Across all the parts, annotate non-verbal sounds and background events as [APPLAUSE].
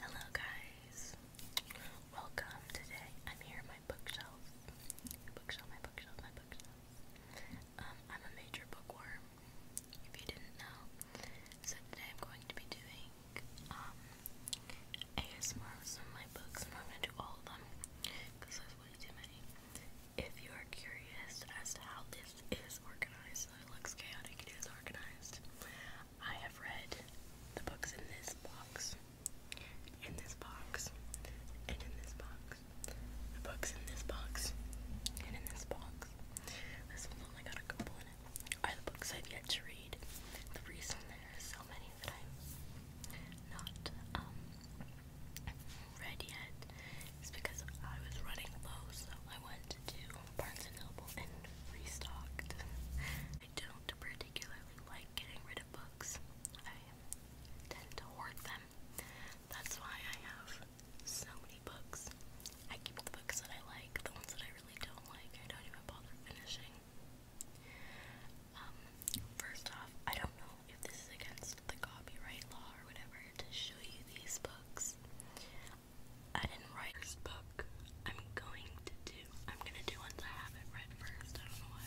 Hello guys. Welcome. Today I'm here in my bookshelf. Bookshelf, my bookshelf, my bookshelf. Um, I'm a major bookworm, if you didn't know. So today I'm going to be doing um of my books. not gonna do all of them because there's way too many. If you are curious as to how this is organized, it looks chaotic, it is organized. I have read the books in this box, in this box, and in this box, the books in this box, and in this box. This one only got a couple in it. Are the books I've yet to read. The reason there are so many that I'm not um, read yet is because I was running low, so I wanted to do Barnes & Noble and restocked. I don't particularly like getting rid of books. I tend to hoard them. That's why I have so many books. I keep the books that I like. The ones that I really don't like, I don't even bother finishing. Um, first off, I don't know if this is against the copyright law or whatever to show you these books. I didn't write this book. I'm going to do. I'm gonna do ones I have it read first. I don't know why.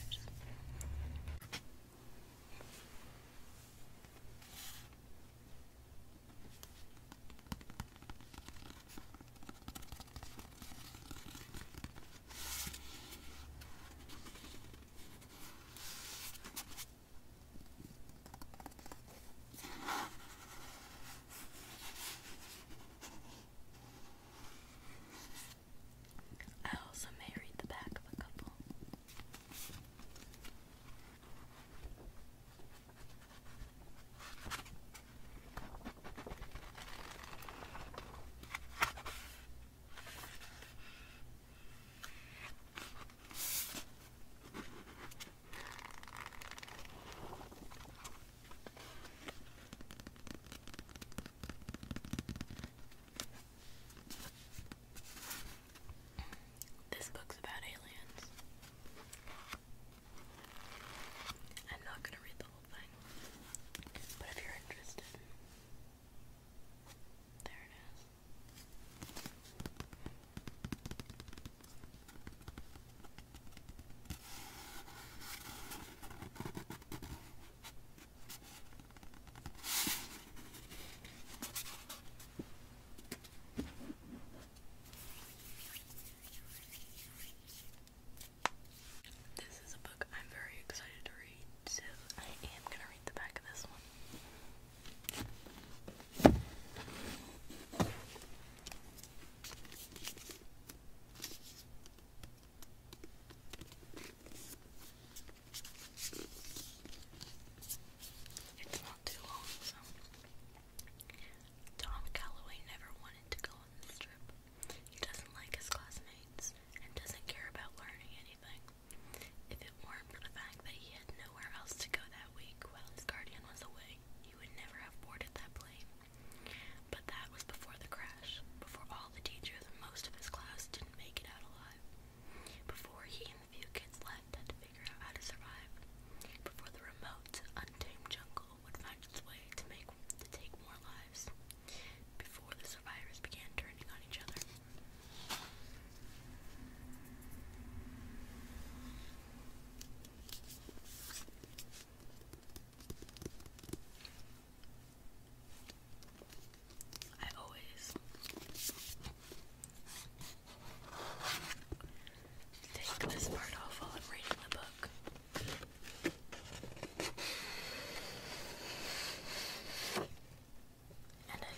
I also may read the back of a couple. This book's about aliens. I'm not going to read the whole thing, but if you're interested, there it is. This is a book I'm very excited to read, so I am going to read the back of this one. Tom Calloway never wanted to go on this trip. He doesn't like his classmates and doesn't care about learning anything. If it weren't for the fact that he had nowhere else to go that that week while his guardian was away, he would never have boarded that plane. But that was before the crash, before all the teachers and most of his class didn't make it out alive, before he and the few kids left had to figure out how to survive, before the remote, untamed jungle would find its way to make to take more lives, before the survivors began turning on each other. I always take this part off while I'm reading the book. And I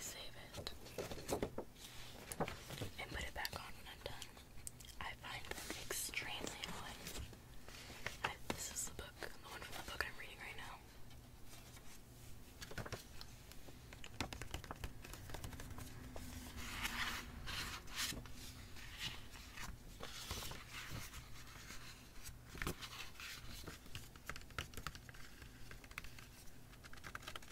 save it and put it back on when I'm done. I find them extremely annoying. this is the book, the one from the book I'm reading right now.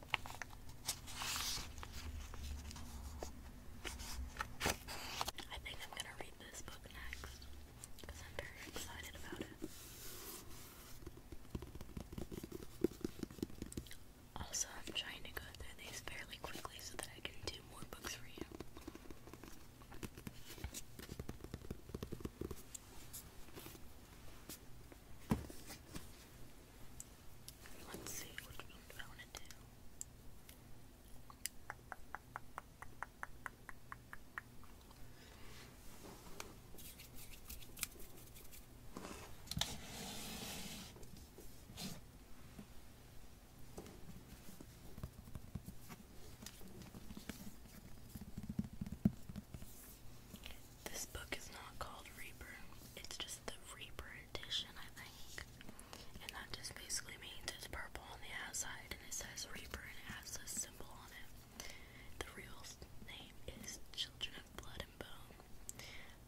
I think I'm gonna read this book next because I'm very excited about it. Also, I'm trying to go through these fairly quickly so that I can do more books for you. Let's see which one want to do. This book is not called Reaper, it's just the Reaper edition, I think. And that just basically means it's purple on the outside and it says Reaper and it has a symbol on it. The real name is Children of Blood and Bone.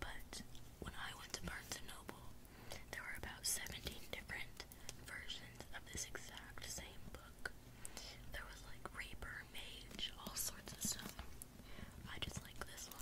But when I went to Barnes and Noble, there were about 17 different versions of this exact same book. There was like Reaper, Mage, all sorts of stuff. I just like this one.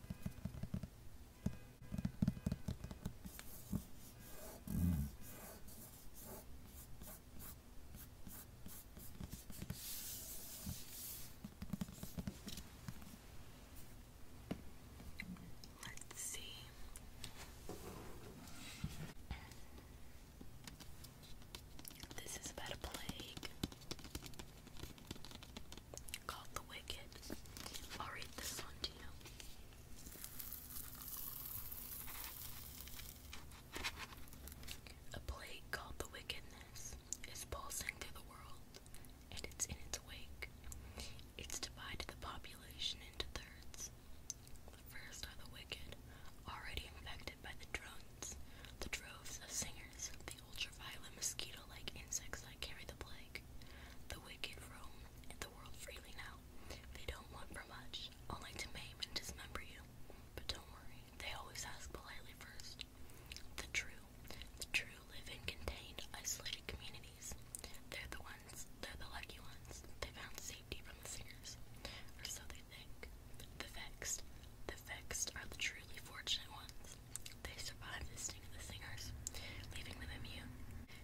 Let's see. This is about a plague called The Wicked. I'll read this one to you. A plague called the wickedness is pulsing through the world, and it's in its wake. It's divided the population into thirds. The first are the wicked, already infected by the drones, the droves of singers, ultraviolet mosquito-like insects that carry the plague. The wicked roam the world freely now. They don't want for much, only to maim and dismember you. But don't worry, they always ask politely first. The true, the true live in contained, isolated communities. They're the ones, they're the lucky ones. They found safety from the singers, or so they think. The vexed. The vexed are the truly fortunate ones. They survive the sting of the singers, leaving them immune.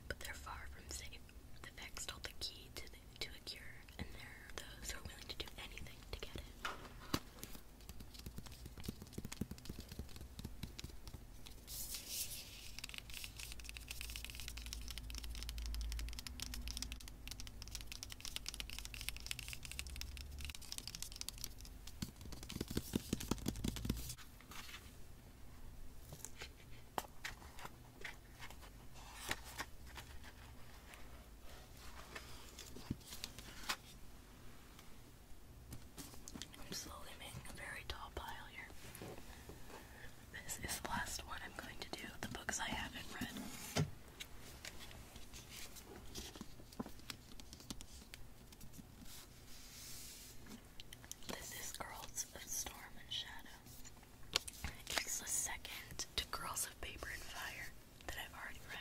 But they're far from safe. The vexed hold the key to, to a cure, and they are those who are willing to do anything to get it. I'm slowly making a very tall pile here. This is the last one I'm going to do. The books I haven't read. This is Girls of Storm and Shadow. It's the second to Girls of Paper and Fire that I've already read.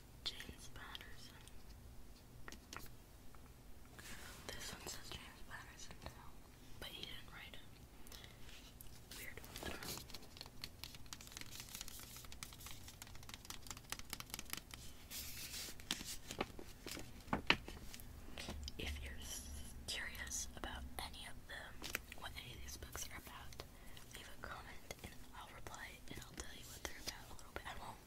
James Patterson. This one says James Patterson now, but he didn't write it. Weird. I don't know. If you're curious about any of them, what any of these books are about, leave a comment and I'll reply and I'll tell you what they're about a little bit. I won't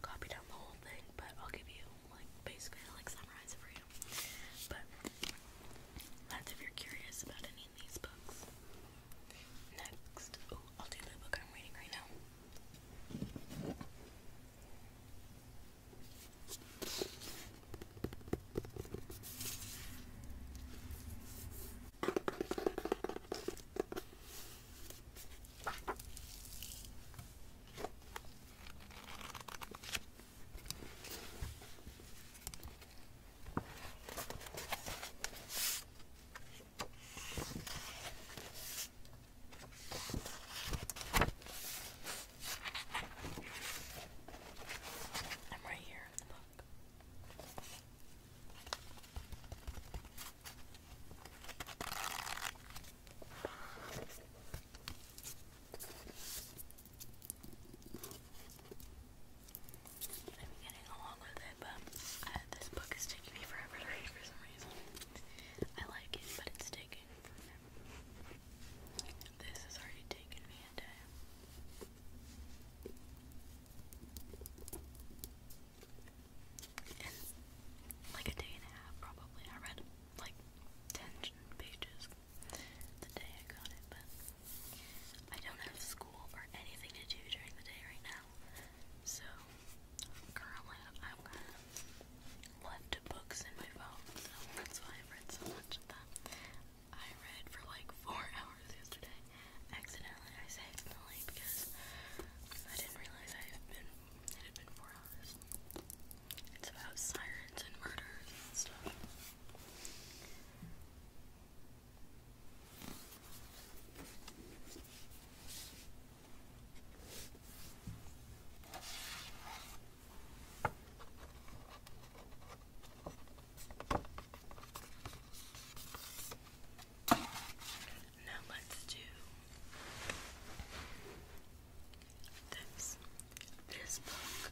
copy down the whole thing, but I'll give you like basically I'll like summarize it for you. But that's if you're curious about any of these books. Next, oh, I'll do the book I'm reading right now. I'm right here. Look. I'm getting along with it, but uh, this book is taking me forever to read for some reason. I like it, but it's taking This has already taken me a day like a day and a half, probably. I read like 10 pages the day I got it, but I don't have school or anything to do during the day right now. So, currently, I'm kind left books in my phone, so that's why I've read so much of that. I read for like four [LAUGHS] hours yesterday. Accidentally, I say accidentally because I didn't realize I had been it had been four hours. It's about sirens and murders and stuff. Now let's do this. This book.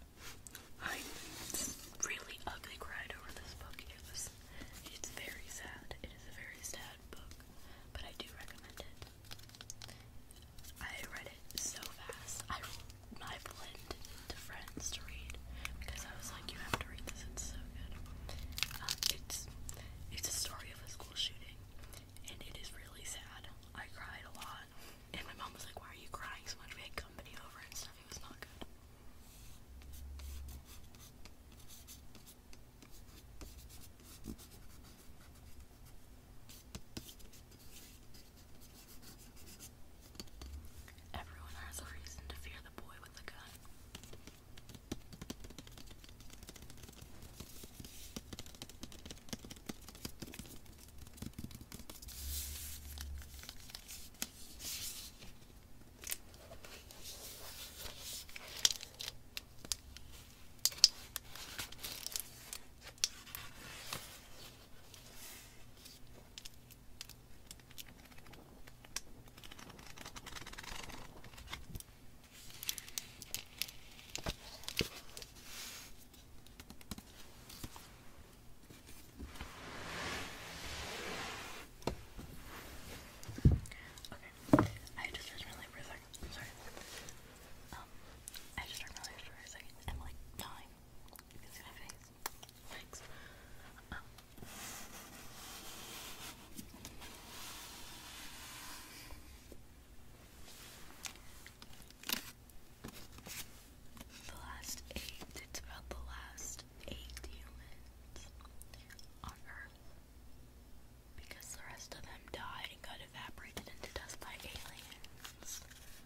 I really ugly cried over this book. It was it's very sad. It is a very sad book. But I do recommend it. I read it so fast. I I blend it into friends to read because I was like, you have to read this. It's so good. Um, it's it's a story of a school shooting, and it is really sad. I cried a lot, and my mom was like, "Why are you crying so much?" We had company over and stuff. It was not good. Everyone has a reason to fear the boy with the gun. Okay, I just started really for sorry. Um, I just started really for a second. I'm like dying. Thanks. The last eight, it's about the last eight humans on Earth. Because the rest of them died and got evaporated into dust by aliens.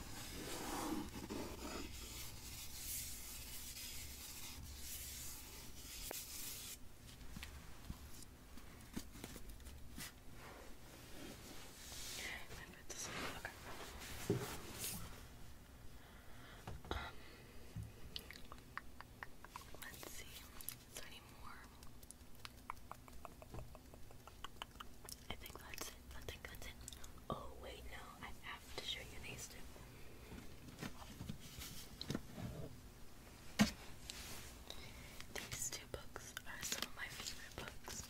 this um, okay. let's see. Is there any more? I think that's it. I think that's it. Oh wait, no, I have to show you these two. These two books are some of my favorite books.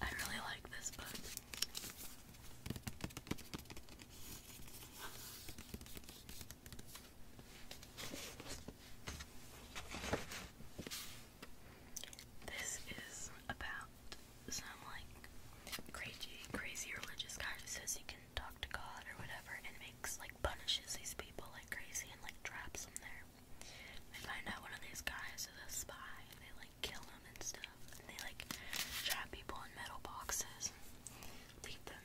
I really like this book. This is about some like crazy, crazy religious guy who says you can talk to God or whatever, and makes like punishes these people like crazy and like traps them there. They find out one of these guys is a spy, and they like kill him and stuff, and they like trap people in metal boxes, and leave them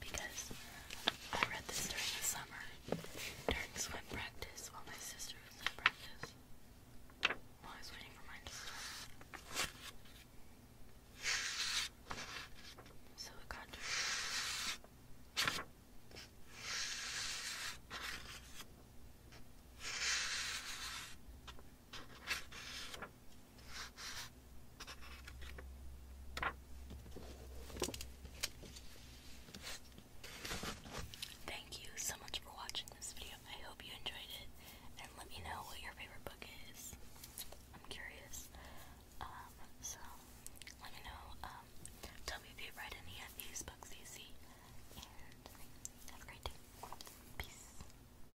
because I read this during the summer, during swim practice, while my sister was at practice. While I was waiting for mine to start. So it got to Thank you so much for watching this video. I hope you enjoyed it and let me know what your favorite book is. I'm curious. Um, so let me know. Um, tell me if you've read any of these books you And have a great day. Peace.